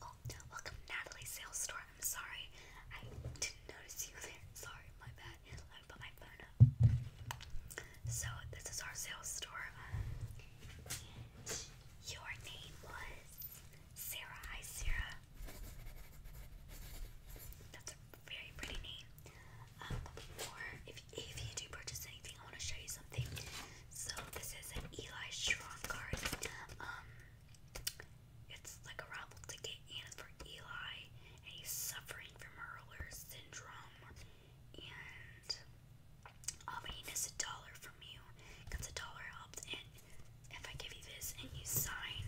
Oh, welcome Natalie Sales Store. I'm sorry. I didn't notice you there. Sorry, my bad. Let me put my phone up. So, this is our sales store. your name was Sarah. Hi, Sarah. That's a very pretty name. Um, but before, if, if you do purchase anything, I want to show you something. So this is an Eli Strong card. Um, it's like a raffle ticket, and it's for Eli, and he's suffering from Hurler syndrome, and um, he needs a dollar from you. Because a dollar helps, if I give you this and you sign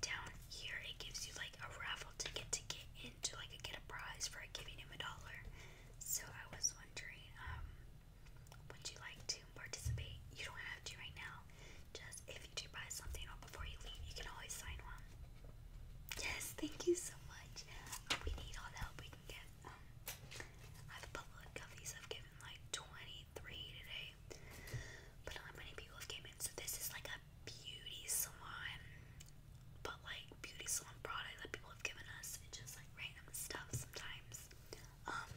down here, it gives you like a raffle ticket to get into like a get a prize for giving him a dollar. So I was wondering, um, would you like to participate? You don't have to right now. Just if you do buy something or before you leave, you can always sign one. Yes, thank you so much. Uh, we need all the help we can get. Um, I've public copies. I've given like 23 today, way. But not many people have came so this is like a beauty salon, but like beauty salon product that people have given us. It's just like random stuff sometimes. Um,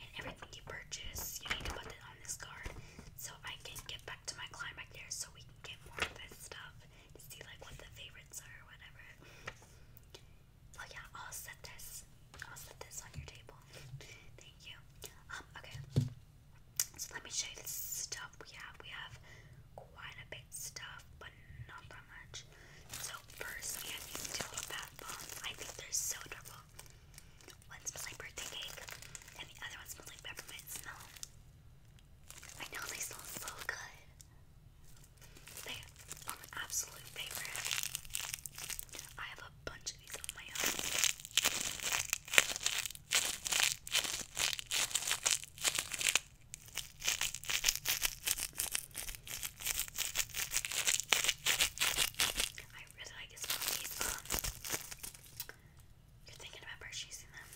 and everything you purchase, you need to put it on this card, so I can get back to my client there, so we can get more of this stuff see like what the favorites are or whatever. Oh yeah, I'll set this. I'll set this on your table. Um, okay. So let me show you the stuff we have. We have quite a bit stuff, but not that much. So first we have these two little bath bombs. I think they're so adorable. One smells like birthday cake, and the other one smells like peppermint smell. I know they smell so good. They are my absolute favorite. I have a I really like These, um, you're thinking about purchasing them.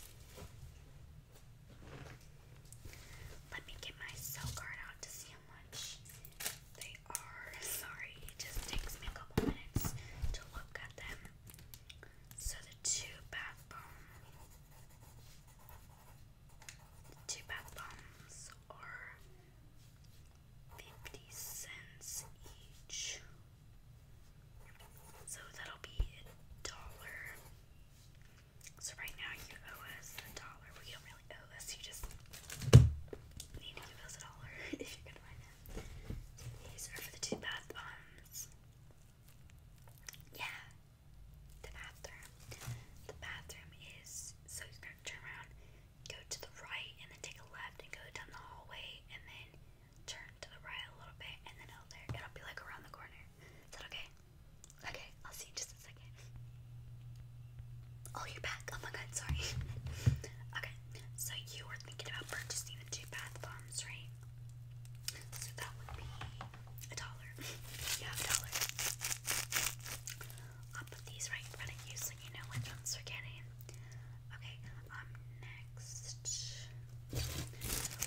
Let me get my sell card out to see how much they Sorry, just takes me a couple minutes to look at them. So the two bath bomb, two bath bombs are fifty cents each. So that'll be a dollar. So right now you owe us a dollar. We don't really owe us. You just need to give us a dollar if you're gonna buy these are for the two bath bombs. Yeah, the bathroom. The bathroom is so you're gonna turn around, go to the right, and then take a left, and go down the hallway, and then turn to the right a little bit, and then out there. It'll be like around the corner. Is that okay? Okay, I'll see you in just a second. Oh, you're back. Oh my god, sorry. okay, so you were thinking about purchasing the two bath bombs, right? So that would be a dollar. yeah, a dollar. I'll put these right in front of you so you know which ones we're getting. Okay, um, next.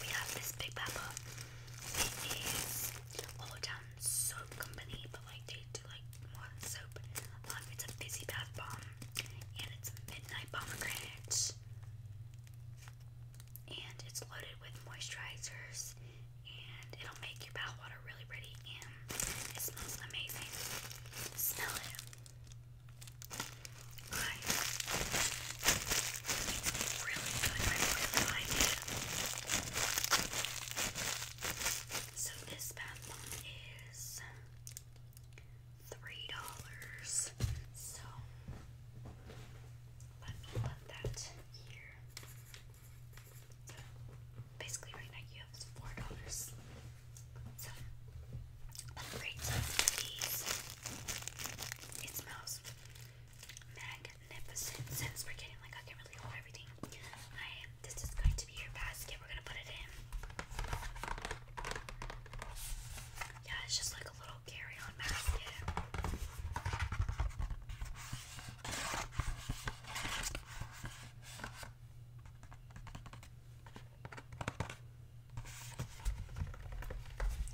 We have this Big Papa. It is all down soap company, but like they like one soap. it's a fizzy bath bomb, and it's a midnight pomegranate, and it's loaded with moisturizers, and it'll make your bath water really pretty, and it smells amazing. Smell it. really good. really like it. So this bath bomb is three dollars. So let me put that here. basically, right now you have four dollars. So upgrade some of these. It smells magnificent. Since we're getting like I can really hold everything, I this is going to be your basket. We're going to put it in. Yeah, it's just like a little carry on basket.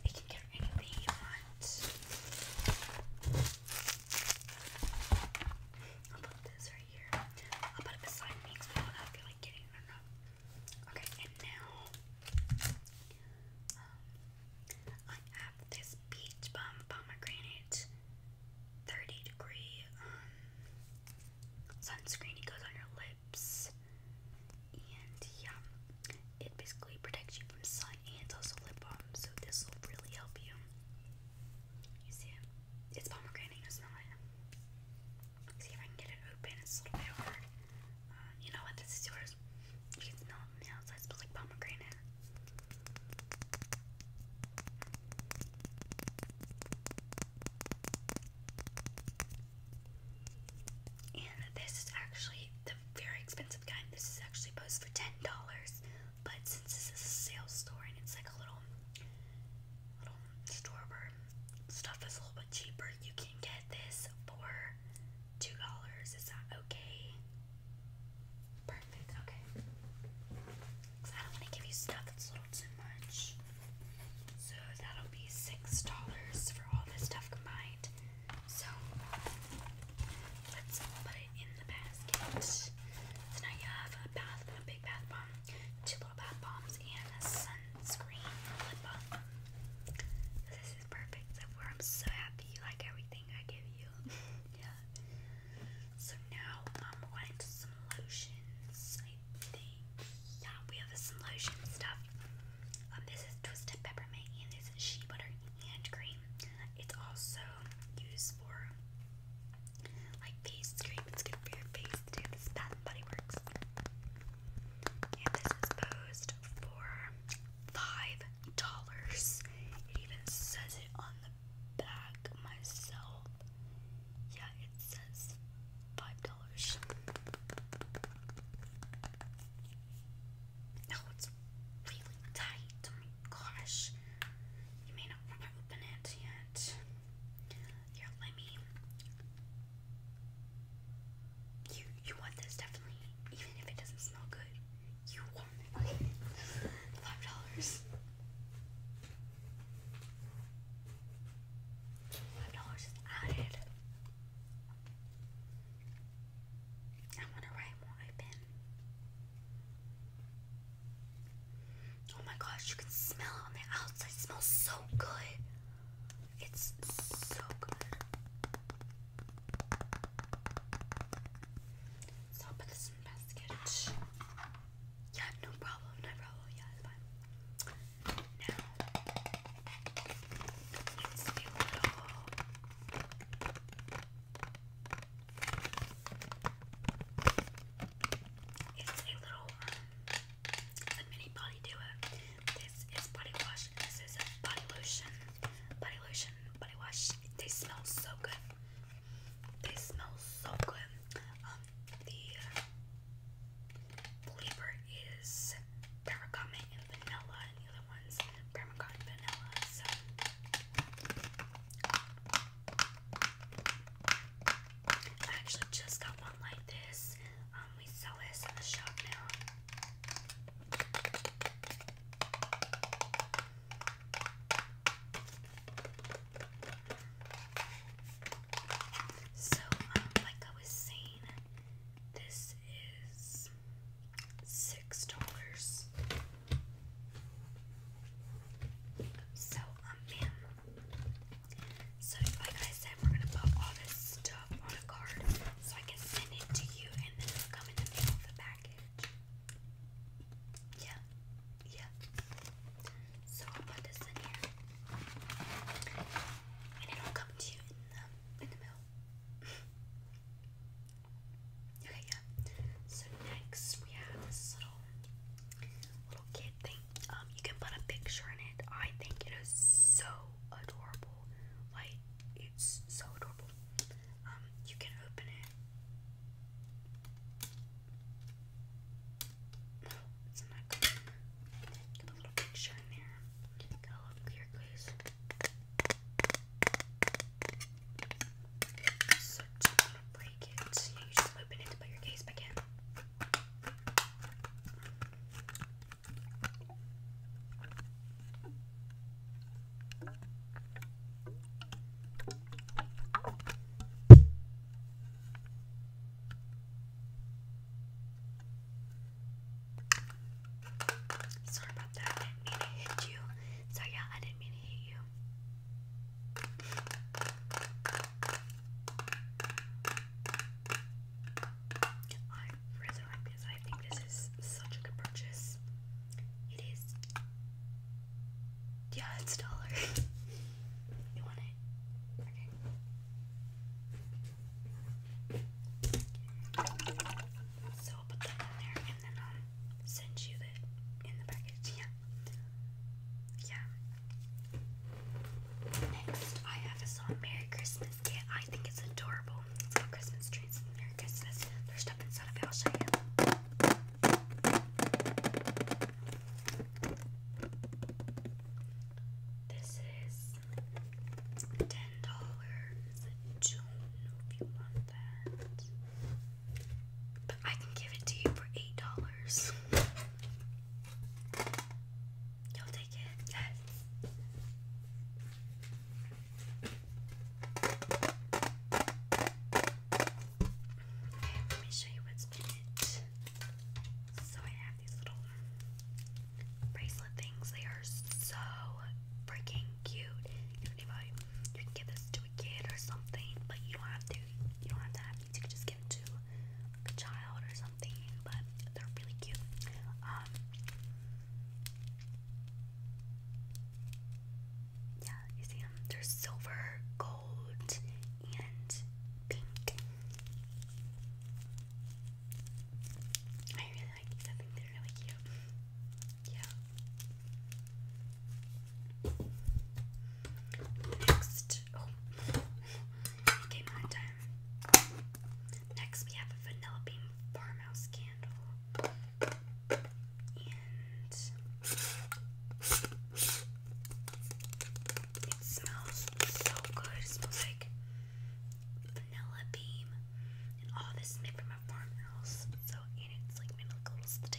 You can get anything you want. I'll put this right I'll put it beside me because I do like getting it Okay, and now um, I have this peach bomb pomegranate 30 degree um, sunscreen. It goes on your lips, and yeah, it basically protects you from sun, and it's also lip balm, so this will really help you. You see it? It's pomegranate, you smell it. See if I can get it open, it's a little bit hard. Uh, you know what? This is yours. You can smell it from the outside, it smells like pomegranate. And this is actually the very expensive kind. This is actually posed for ten dollars, but since this is a sales store and it's like a little little store where stuff is a little bit cheaper. You can get this for two dollars. Is that okay? Perfect. Okay. Cause I don't want to give you stuff that's a little too much. So that'll be six dollars for all this stuff combined. So let's put it in the basket. So now you bath, a big bath bomb two little bath bombs, and a sunscreen lip balm. This is perfect. I'm so happy you like everything I give you. yeah. So now I'm going to some lotions. I think. Yeah, we have some lotion stuff. Um, this is twisted peppermint and this is shea butter hand cream. It's also used for like face treatment's good for your face This is Bath and Body Works. And this is posed for five dollars. It even says it on the back myself. Yeah, it says five dollars. Oh, it's really tight. Oh my gosh. You may not want to open it yet that. let me. You you want this definitely, even if it doesn't smell good. You want it. Okay. Five dollars. Five dollars is added. I want to write more. Oh my gosh, you can smell it on the outside. It smells so good. It's so good. So I'll this in Yeah, no problem, no problem. Yeah, fine. Now, let's do a little. It's a little, um, mini body duo. This is body wash, this is body lotion. Body lotion, body wash. They smell so good. They smell so good. Um, the uh, flavor is bergamot and vanilla, and the other one's bergamot vanilla. I actually just got one like this. Um, we sell this in the shop now. So, um, like I was saying, this is six dollars. So, um, so, like I said, we're gonna put all this stuff on a card so I can send it to you, and then it'll come in the mail the package. Yeah, yeah. So I'll put this in here, and it'll come to you in the in the mail. okay, yeah. So next we have this little um, you can put a picture in it. I think it is so adorable. Like it's so adorable. Um, you can open it. No, a little picture in there. Get a little clear glaze really cute. You just open it to put your case back in. Sorry about that. I didn't mean to hit you. So yeah, I didn't mean to hit you. I really like this. I think this is such a good purchase. It is. Yeah, it's a dollar. you want it? Okay. So I'll put that in there and send you it in the package. Yeah. Yeah. Next, I have a song, Merry Christmas Kit. I think it's adorable. It's called Christmas Trees. Merry Christmas. There's stuff inside of it. I'll show you. This is $10. June, if you want that. But I can give it to you for eight dollars. You'll take it. Yes. Okay, let me show you what's in it. So I have these little bracelet things. They are so freaking cute. You can, give this to a kid or something, but you don't have to. You don't have to you could just give to a child or something, but they're really cute. Um, yeah, you see them? They're silver, gold, and pink. I really like these. I think they're really cute. Yeah. Next, Oh, it time. Next, we have a vanilla bean farmhouse candle. it smells so good. It smells like vanilla bean and all this is made from a farmhouse. So, and it's like made like a smell.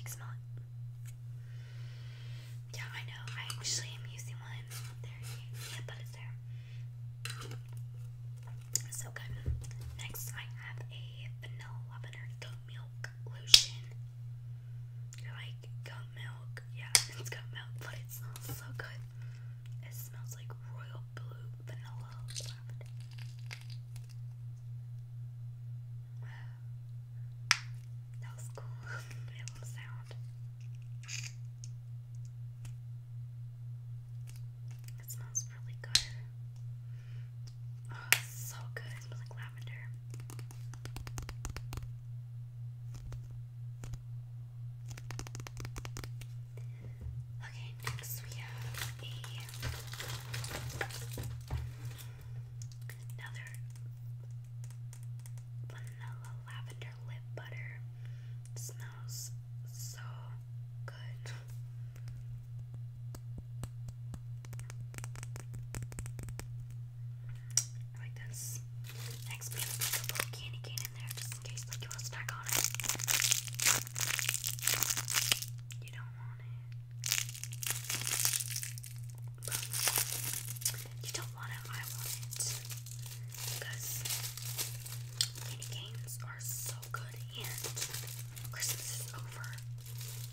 Yeah, I know. I actually am using one. There, yeah, but it's there. So good. Next, I have a vanilla butter goat milk lotion. You're like goat milk? Yeah, it's goat milk, but it smells so good. It smells like royal blue vanilla that was cool. it will sound. It smells really good. Oh, so good. It smells like lavender. Okay, next we have a Another vanilla lavender lip butter. smells so good. like this. Next, we have a little candy cane in there just in case like you want to snack on it. You don't want it. You don't want it, I want it. Because mini games are so good and Christmas is over.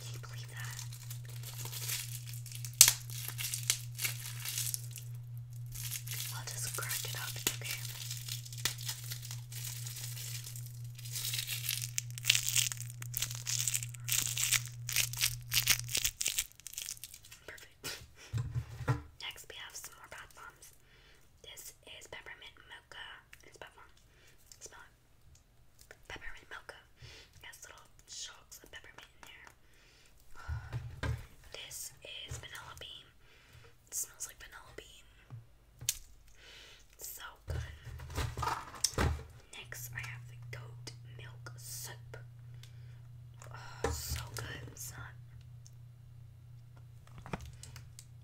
Can you believe that? I'll just crack it up, okay? Perfect. Next, we have some more bath bombs. This is peppermint mocha. It's bath bomb. Smell it. Peppermint mocha. It has little chunks of peppermint in there. This is vanilla bean. It smells like vanilla bean. So good. Next, I have the goat milk soup. Oh, so good, son.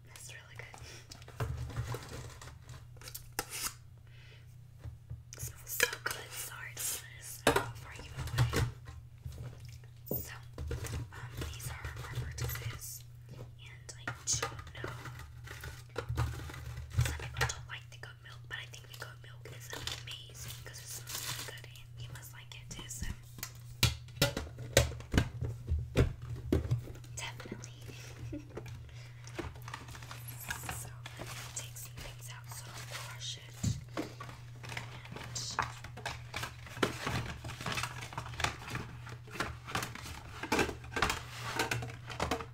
That's really good. smells so good. Sorry to smell before I away. So, um, these are my purchases, and I do know some people don't like the milk, but I think we got milk is amazing because it smells really good and you must like it too, definitely. so i things out, so i it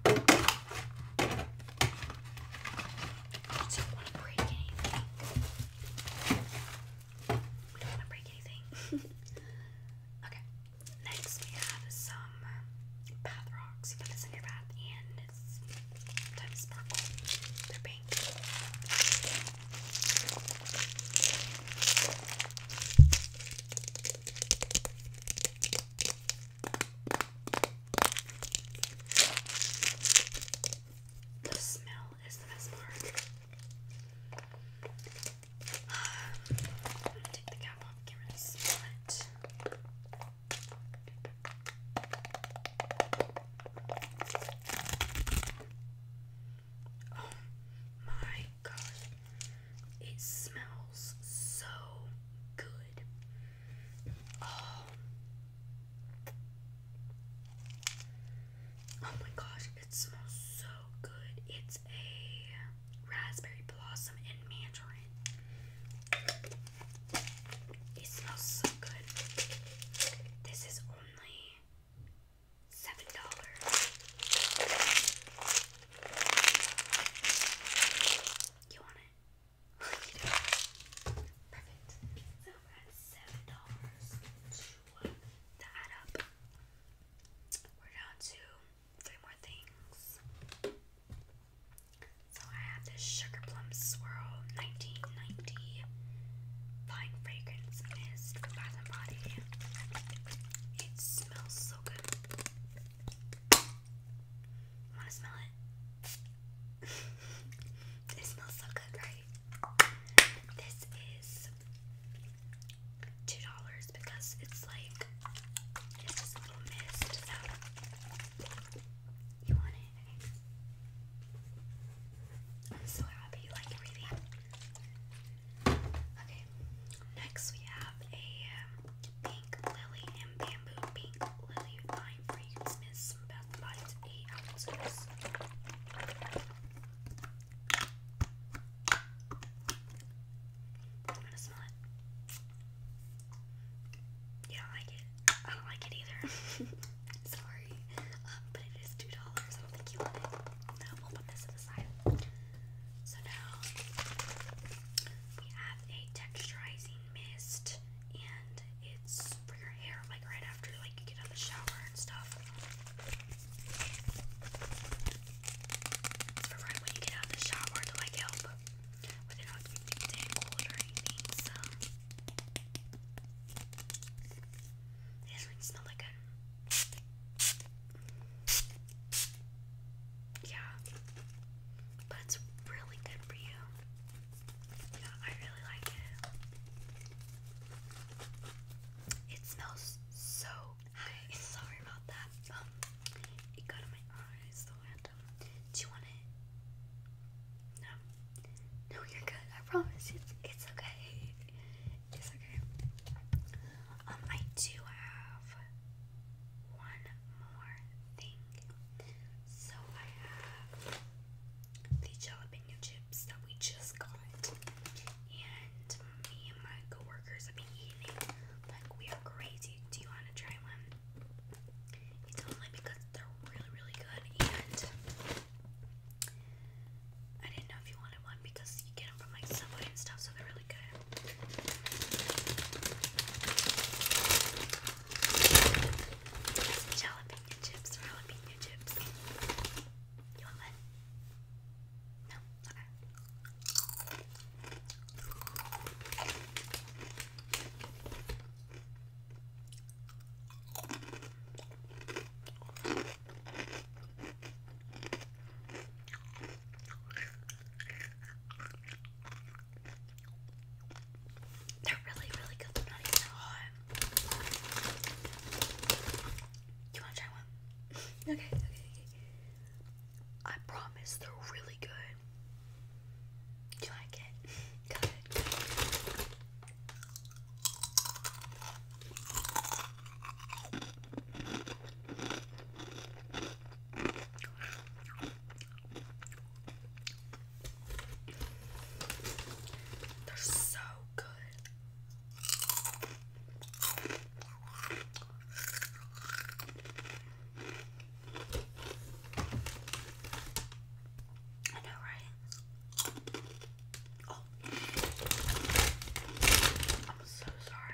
I don't want to break anything. We don't want to break anything. okay. Next, we have some bath rocks. You put this in your bath, and it's sometimes sparkle. They're pink. The smell is the best part. Um, take the cap off, get rid of smell it. Oh my gosh, it smells so good. Oh. oh. my gosh, it smells so good. It's a raspberry blossom and mandarin. It smells so good. This is only seven dollars. You want it? Perfect. So we're seven dollars to add up. We're down to three more things. So I have this sugar plum swirl 1990 fine fragrance mist from Bath Body. It smells so good. Wanna smell it? it smells so good, right? This is two dollars because it's like it's just a little mist. So you want it? I'm so happy you like everything. Okay, next we have a um, pink lily and I'm gonna smell it. You don't like it? I don't like it either. Sorry. Um, but it is $2. I don't think you want it. No, we'll put this to the side. So now we have a texturizing mist and it's for your hair, like right after like you get out of the shower and stuff. for right when you get out the shower to like help with it not being tangled or anything. So it doesn't smell like good. Yeah, but it's really good for you. Yeah, I really like it. It smells so nice. Sorry about that. Um, it got in my eyes, Do you want it? No. No, you're good. I promise. It's it's okay. It's okay. Um, I do have one more thing. So I have the jalapeno chips that we just got, and me and my coworkers have been eating like we are crazy. Do you want to try one? It's only because they're really, really good, and I didn't know if you wanted one because you get them from like Subway and stuff, so they're really good. Jalapeno chips, jalapeno chips. You want one? No? Okay. They're really, really good. They're not even that hot. You want to try one? okay, okay, okay. I promise they're really good. Do you like it? Good. They're so good. I know, right? Oh. I'm so sorry.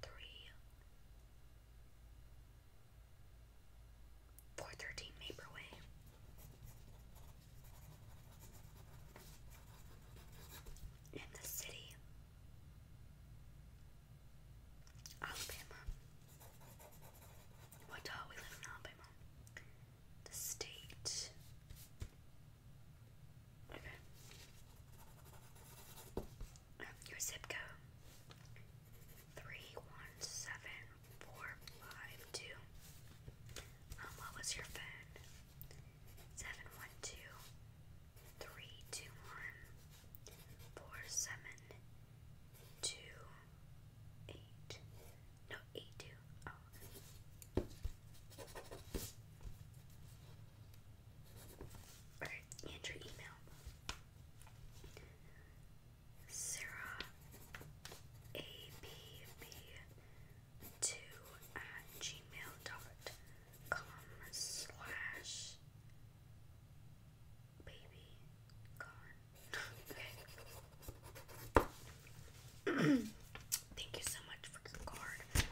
three, four thirteen Vaporwave. In the city, Alabama. What? Uh, we live in Alabama. The state. Okay. Um, your zip code three one seven four five two. Um, what was your phone? Seven one two three two one four seven two eight. No eight two. Oh and your email. Sarah A B B two at gmail dot com slash baby gone. Thank you so much for your card.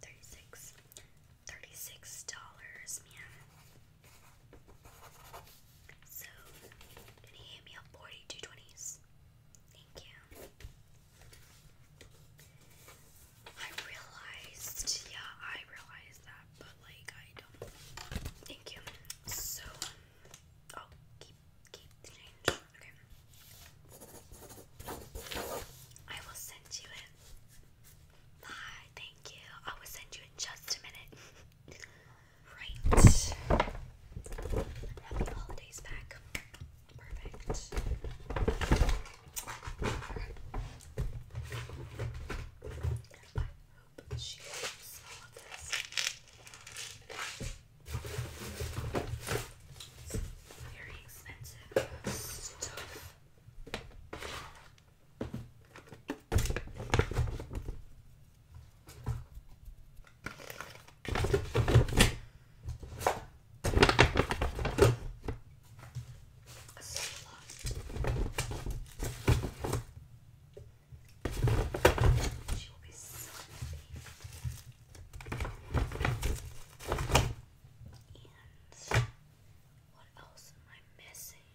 36 dollars, man. So, did he hit me up 42 Thank you. I realized, yeah, I realized that, but like, I don't. Thank you. So, oh, keep, keep the change. Okay. I will send you it. Bye, thank you. I will send you in just a minute. right. Happy holidays back. Perfect very expensive stuff. She will be so happy. And what else am I missing?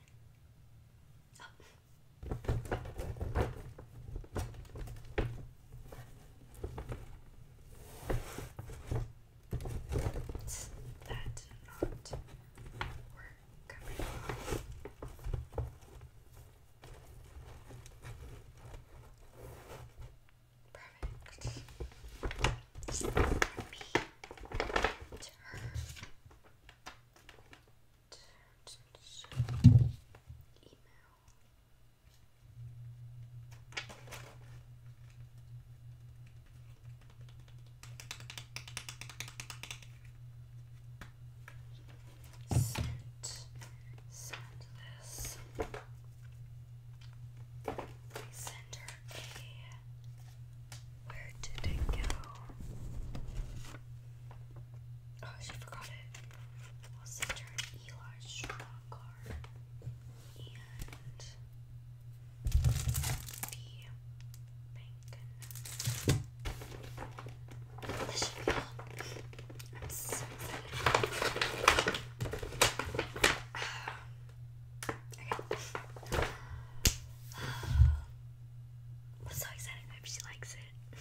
Oh. That did not work. Perfect. Just from Email. Sent. Send this. I sent her a. Where did it go? Oh, she forgot it. I'll send her an Eli card and the bank. This should be all. I'm so excited. I'm so excited. I hope she likes it.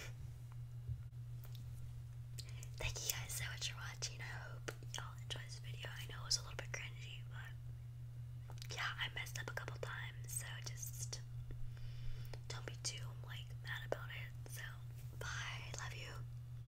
Thank you guys so much for watching. I hope y'all enjoy this video. I know it was a little bit cringy, but yeah, I messed up a couple times, so just don't be too like mad about it. So bye, love you.